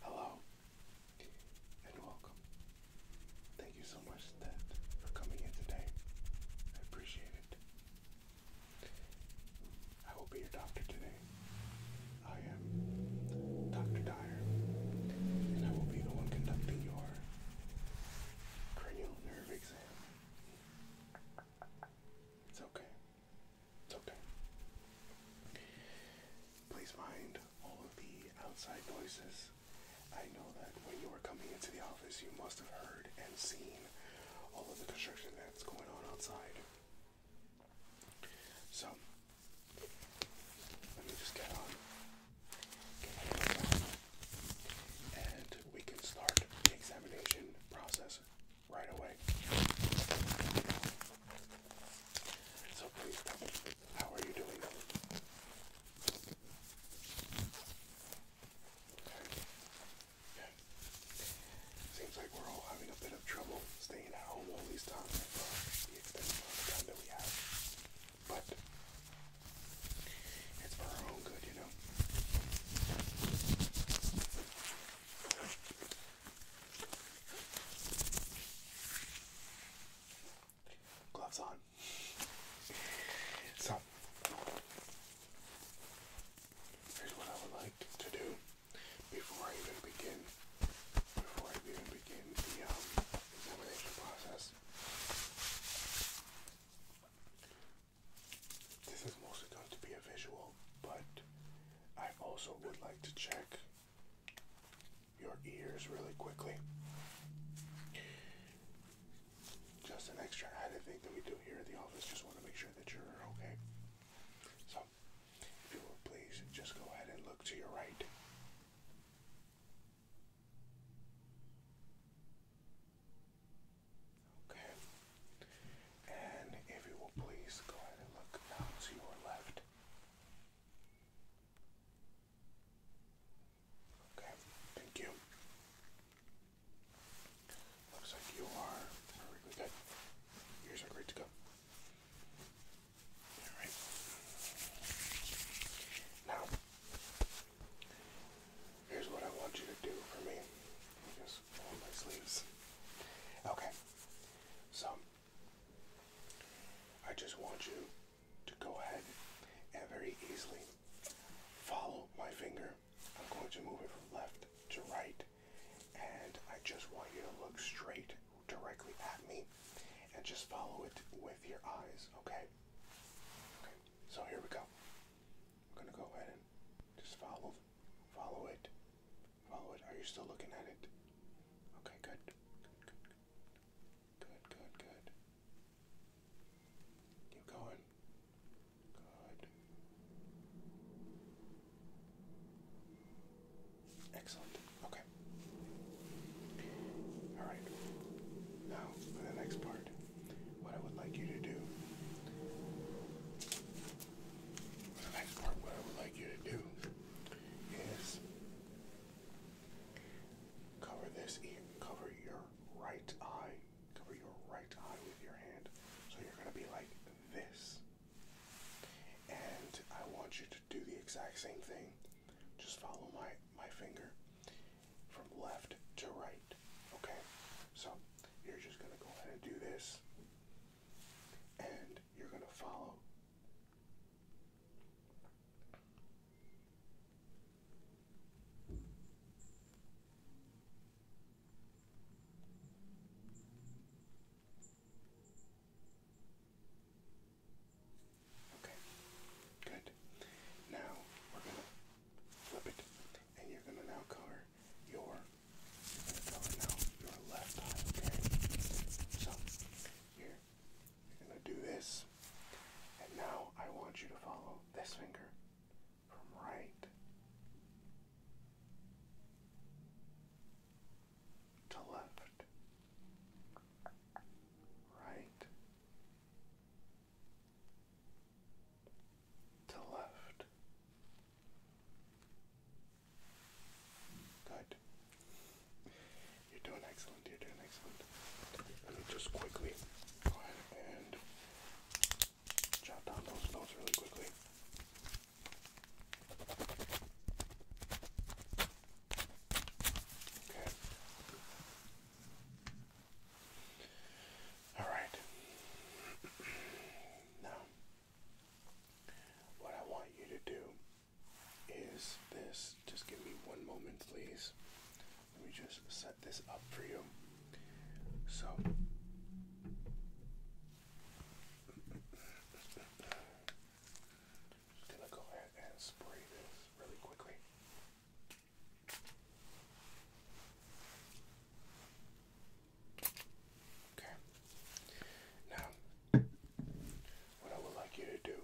Hello and welcome. Thank you so much for coming in today. I appreciate it. I will be your doctor today. I am Dr. Dyer, and I will be the one conducting your cranial nerve exam. It's okay. It's okay. Please mind all of the outside noises. I know that when you were coming into the office, you must have heard and seen all of the construction that's going on outside. So, let me just get on, and we can start the examination process right away. So please how are you doing? Seems like we're all having a bit of trouble staying at home these times uh, the extended amount of time that we have. But it's for our own good, you know. Gloves on. So, here's what I would like to do before I even begin, before I even begin the um, examination process. This is mostly going to be a visual, but I also would like to check your ears really quickly. Just an extra added thing that we do here at the office. Just want to make sure that you're okay. So, if you will please just go ahead and look to your right. Okay. And if you will please go ahead and look now to your left. Okay, thank you. Looks like you are perfectly good. Yours are great to go. Alright. Now, here's what I want you to do for me. Just roll my sleeves. Okay. So I just want you to go ahead and very easily follow my finger. I'm going to move it from left to right, and I just want you to look straight directly at me and just follow it with your eyes, okay? Okay, so here we go. I'm gonna go ahead and just follow follow it Follow oh, it. Are you still looking at it? Okay, good. Good, good, good. Good, good, good. Keep going. Good. Excellent. Okay. Alright. Now, for the next part, what I would like you to do the next part, what I would like you to do is cover this cover your right eye, cover your right eye with your hand. So you're going to be like this. And I want you to do the exact same thing. Just follow my my finger from left to right. Okay? So you're just gonna go ahead and do this. And you're going to follow. Okay, good. Now we're going to flip it, and you're going to now color your you're gonna now your left okay? here, you're gonna do this. And now I want you to follow this finger from right to left. Right to left. Good. You're doing excellent. You're doing excellent. just quickly go ahead and jot down those notes really quickly. Okay. All right. now what I want you to do is this. Just give me one moment, please. Let me just set this up for you. So. Just gonna go ahead and spray this really quickly. Okay. Now, what I would like you to do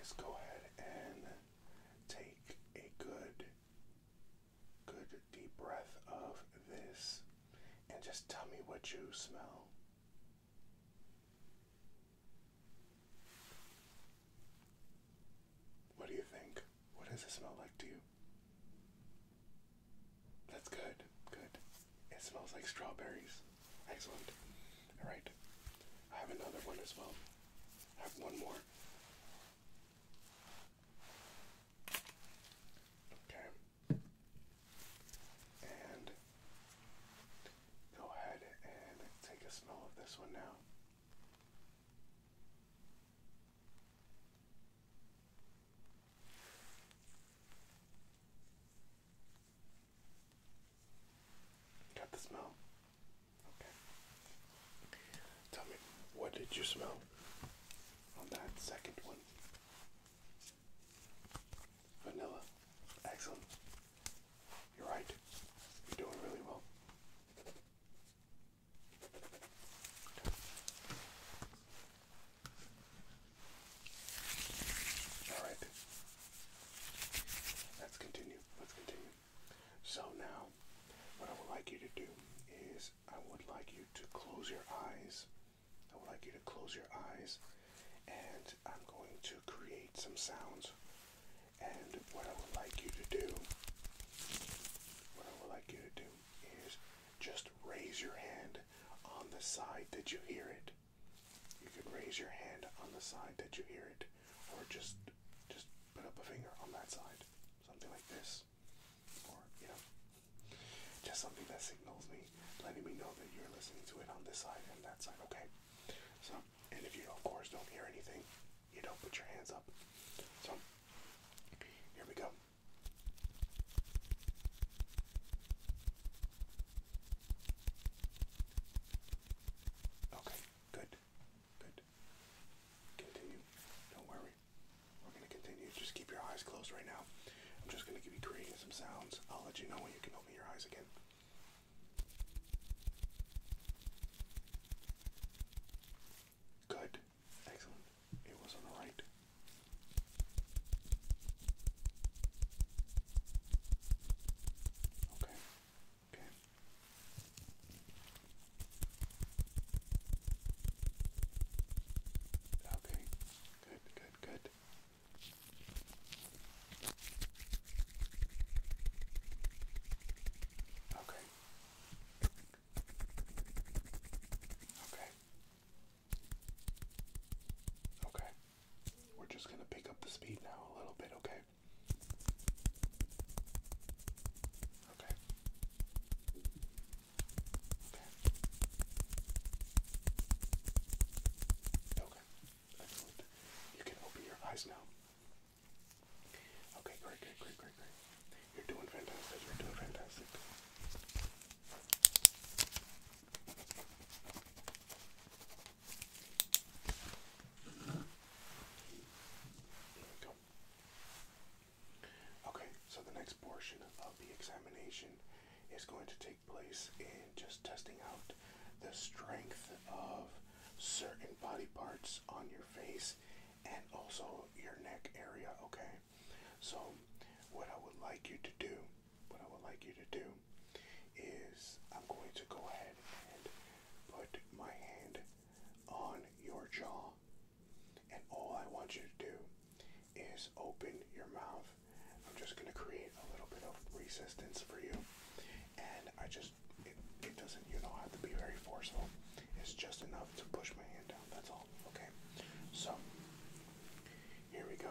is go ahead and take a good, good deep breath of this and just tell me what you smell. What do you think? What does it smell like to you? That's good. Good. It smells like strawberries. Excellent. All right. I have another one as well. I have one more. Okay. And go ahead and take a smell of this one now. Got the smell? Okay. Tell me, what did you smell on that second one? Vanilla. Excellent. You're right. You're doing really well. All right. Let's continue. Let's continue. So now, what I would like you to do is I would like you to close your eyes. I would like you to close your eyes and I'm going to create some sounds. And what I would like you to do, what I would like you to do is just raise your hand on the side did you hear it. You can raise your hand on the side that you hear it, or just just put up a finger on that side, something like this, or you know, just something that signals me, letting me know that you're listening to it on this side and that side. Okay. So, and if you of course don't hear anything, you don't put your hands up. So, here we go. Okay, good, good. Continue. Don't worry. We're gonna continue. Just keep your eyes closed right now. I'm just gonna give creating some sounds. I'll let you know when you can open your eyes again. Good. Excellent. It was on the right. Okay. Okay. Okay. Good, good, good. Okay. Okay. Okay. We're just going to pick up the speed now a little bit, okay? Okay. Okay. Okay. Excellent. You can open your eyes now. Okay, great, great, great, great, great. You're doing fantastic. You're doing fantastic. There we go. Okay, so the next portion of the examination is going to take place in just testing out the strength of certain body parts on your face and also your neck area, okay? So, what I would like you to do, what I would like you to do is I'm going to go ahead and put my hand on your jaw. And all I want you to do is open your mouth. I'm just going to create a little bit of resistance for you. And I just, it, it doesn't, you don't have to be very forceful. It's just enough to push my hand down. That's all. Okay. So here we go.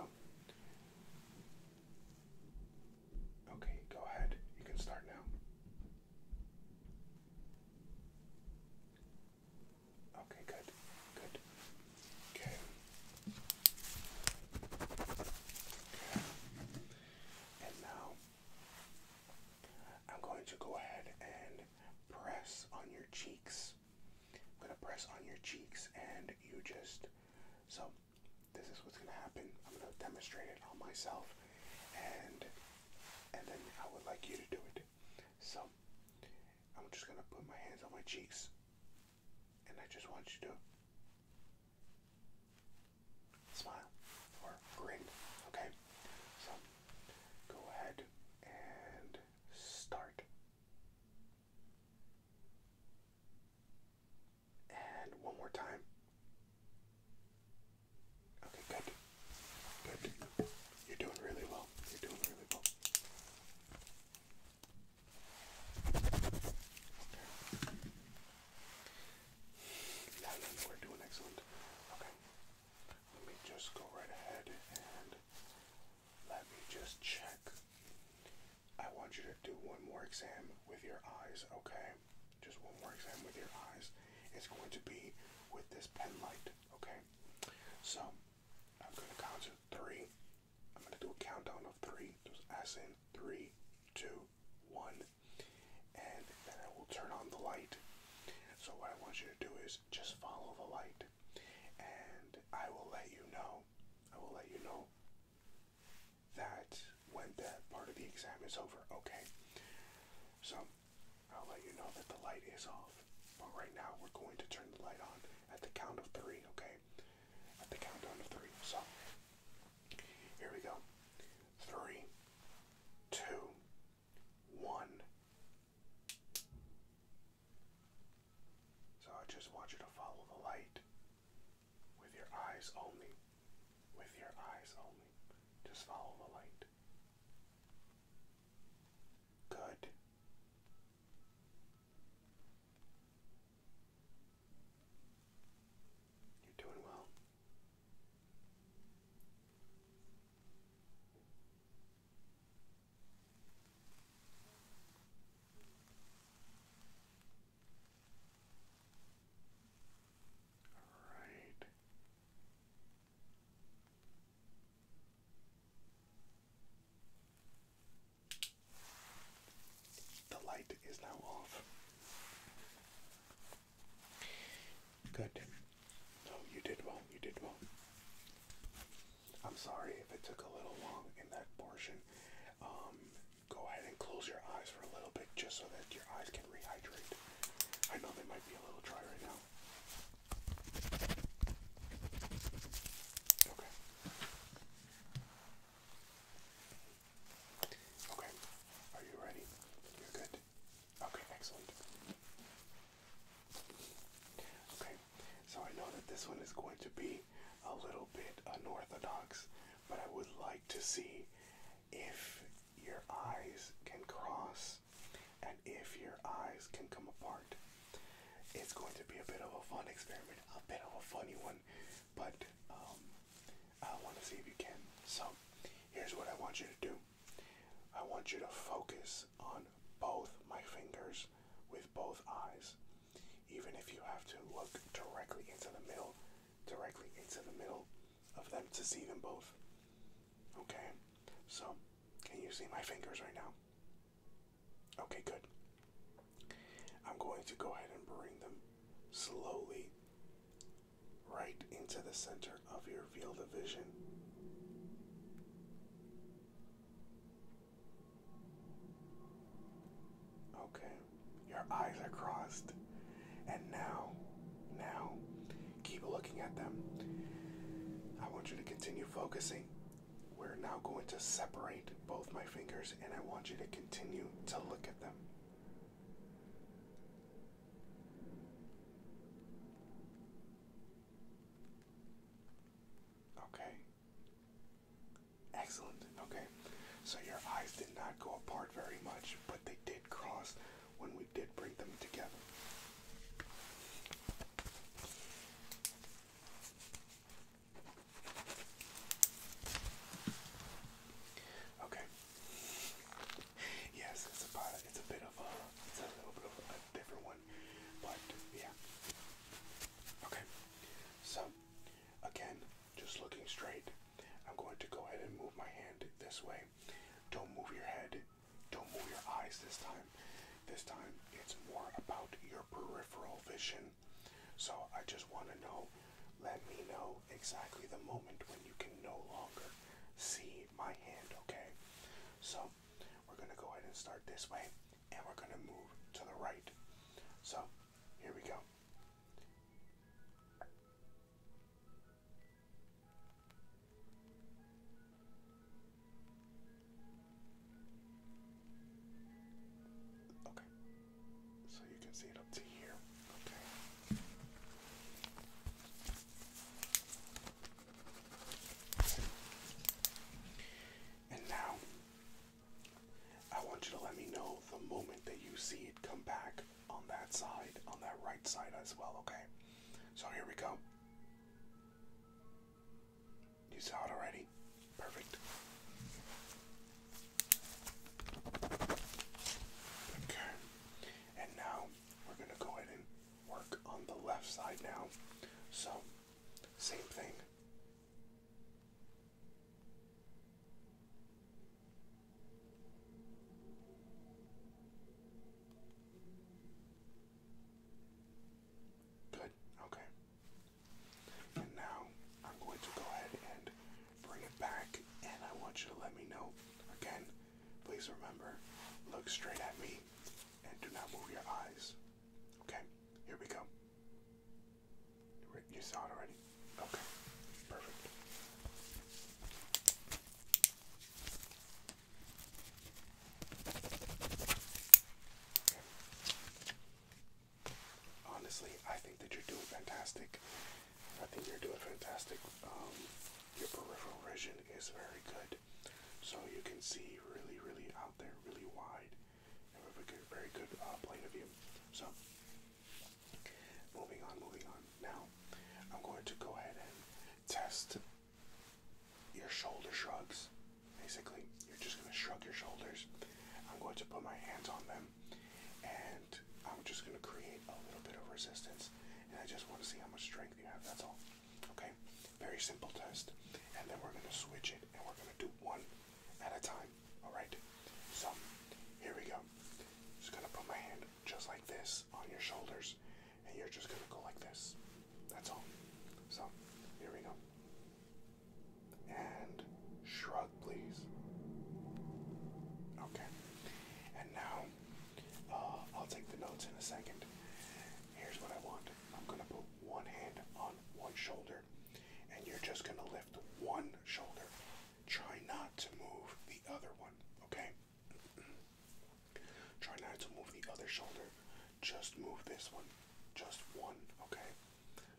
Okay, go ahead. You can start now. Okay, good. Good. Okay. Okay. And now I'm going to go ahead and press on your cheeks. I'm gonna press on your cheeks and you just so this is what's gonna happen. I'm gonna demonstrate it on myself and and then I would like you to do it. So I'm just gonna put my hands on my cheeks and I just want you to smile or grin. Okay? So go ahead and start. And one more time. Okay, good. Good. You're doing really well. You're doing really well. Okay. No, no, we're doing excellent. Okay. Let me just go right ahead and let me just check. I want you to do one more exam with your eyes, okay? Just one more exam with your eyes. It's going to be with this pen light, okay? So I'm going to count to three. I'm going to do a countdown of three. Just as in three, two, one. And then I will turn on the light. So what I want you to do is just follow the light and I will let you know. I will let you know that when that part of the exam is over, okay? So, I'll let you know that the light is off. But right now, we're going to turn the light on at the count of three, okay? At the countdown of three. So, here we go. Three, two, one. So I just want you to follow the light with your eyes only. With your eyes only. Just follow the light. Good. You're doing well. All right. The light is now off. Good. No, you did well. You did well. I'm sorry if it took a little long in that portion. Um, go ahead and close your eyes for a little bit just so that your eyes can rehydrate. I know they might be a little dry right now. Okay. Okay. Are you ready? You're good. Okay, excellent. Okay, so I know that this one is going to be a little bit unorthodox, but I would like to see if your eyes can cross and if your eyes can come apart. It's going to be a bit of a fun experiment, a bit of a funny one, but um, I want to see if you can. So, here's what I want you to do I want you to focus on both my fingers with both eyes. Even if you have to look directly into the middle, directly into the middle of them to see them both. Okay? So, can you see my fingers right now? Okay, good. I'm going to go ahead and bring them slowly right into the center of your field of vision. Okay, your eyes are crossed. And now, now, keep looking at them. I want you to continue focusing. We're now going to separate both my fingers, and I want you to continue to look at them. Okay. Excellent. Okay. So your eyes did not go apart very much, but they did cross when we did bring them together. Okay. Yes, it's about a, it's a bit of a it's a little bit of a different one. But yeah. Okay. So again, just looking straight. I'm going to go ahead and move my hand this way. Don't move your head. Don't move your eyes this time. This time it's more about your peripheral vision. So I just want to know, let me know exactly the moment when you can no longer see my hand, okay? So we're going to go ahead and start this way and we're going to move to the right. So here we go. Okay, so you can see it up to here. Okay. And now, I want you to let me know the moment that you see it come back on that side, on that right side as well, okay? So here we go. You saw it already? Perfect. Okay. And now we're going to go ahead and work on the left side now. So, same thing. Good, okay. And now I'm going to go ahead and bring it back, and I want you to let me know again Please remember, look straight at me and do not move your eyes. Okay, here we go. You saw it already? Okay, perfect. Honestly, I think that you're doing fantastic. I think you're doing fantastic. Um, your peripheral vision is very good. So you can see really, really out there, really wide, and we have a good, very good uh, plane of view. So, moving on, moving on. Now, I'm going to go ahead and test your shoulder shrugs. Basically, you're just going to shrug your shoulders. I'm going to put my hands on them, and I'm just going to create a little bit of resistance. And I just want to see how much strength you have, that's all. Okay, very simple test. And then we're gonna switch it and we're gonna do one at a time. Alright? So here we go. Just gonna put my hand just like this on your shoulders, and you're just gonna go like this. That's all. So here we go. And shrug, please. Okay. And now uh, I'll take the notes in a second. Here's what I want. I'm gonna put one hand on one shoulder, and you're just gonna lift one shoulder. Try not to move the other one, okay? Try not to move the other shoulder. Just move this one. Just one, okay?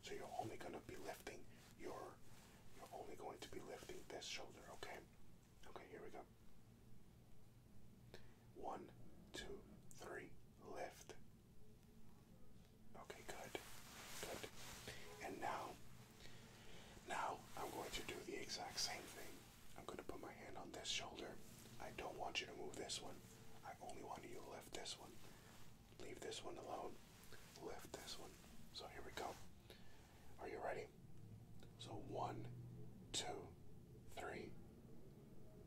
So you're only gonna be lifting your you're only going to be lifting this shoulder, okay? Okay, here we go. One, two, three, lift. Okay, good, good. And now, now I'm going to do the exact same thing. I'm going to put my hand on this shoulder. I don't want you to move this one. I only want you to lift this one. Leave this one alone. Lift this one. So here we go. Are you ready? So one, two, three.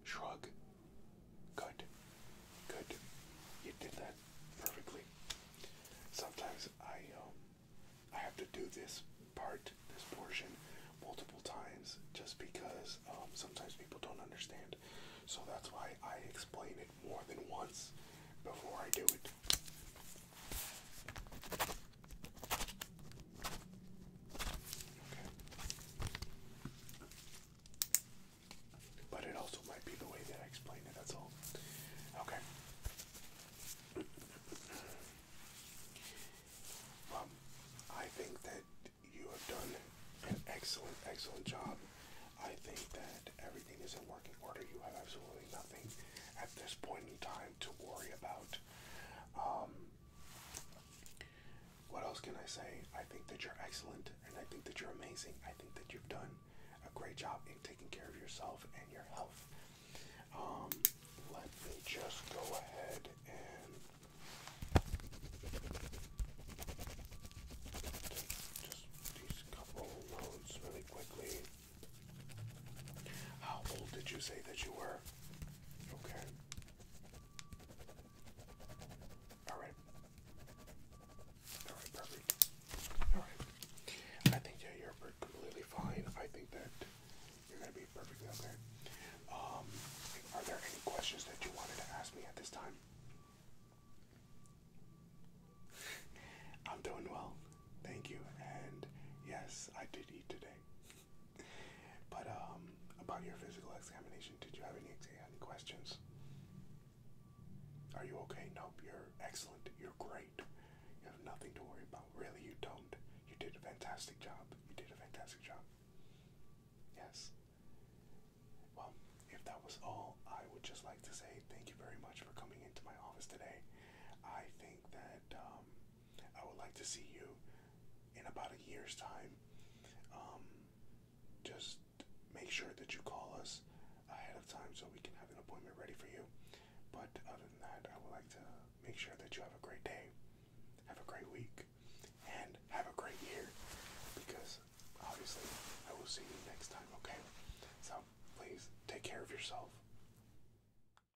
Shrug. Good. Good. You did that perfectly. Sometimes I um, I have to do this part, this portion, multiple times just because um, sometimes people don't understand. So that's why I explain it more than once before I do it. But it also might be the way that I explain it, that's all. Okay. Um, I think that you have done an excellent, excellent job. I think that everything is in working order. You have absolutely nothing at this point in time to worry about. Um, what else can I say? I think that you're excellent and I think that you're amazing. I think that you've done a great job in taking care of yourself and your health. Um, let me just go ahead and just these couple loads really quickly. How old did you say that you were? Okay. Alright. Alright, perfect. Alright. I think yeah, you're completely fine. I think that you're gonna be perfectly okay. Um, are there any questions that you wanted to ask me at this time? I'm doing well. Thank you. And yes, I did eat today. But um, about your physical examination, did you have any any questions? Are you okay? Nope. You're excellent. You're great. You have nothing to worry about. Really, you don't. You did a fantastic job. You did a fantastic job. Yes. Well, if that was all, I would just like to say thank you very much for coming into my office today. I think that um, I would like to see you in about a year's time. Um, just make sure that you call us ahead of time so we can have an appointment ready for you. But other than that, I would like to make sure that you have a great day, have a great week, and have a great year because obviously I will see you next time, okay? So please take care of yourself.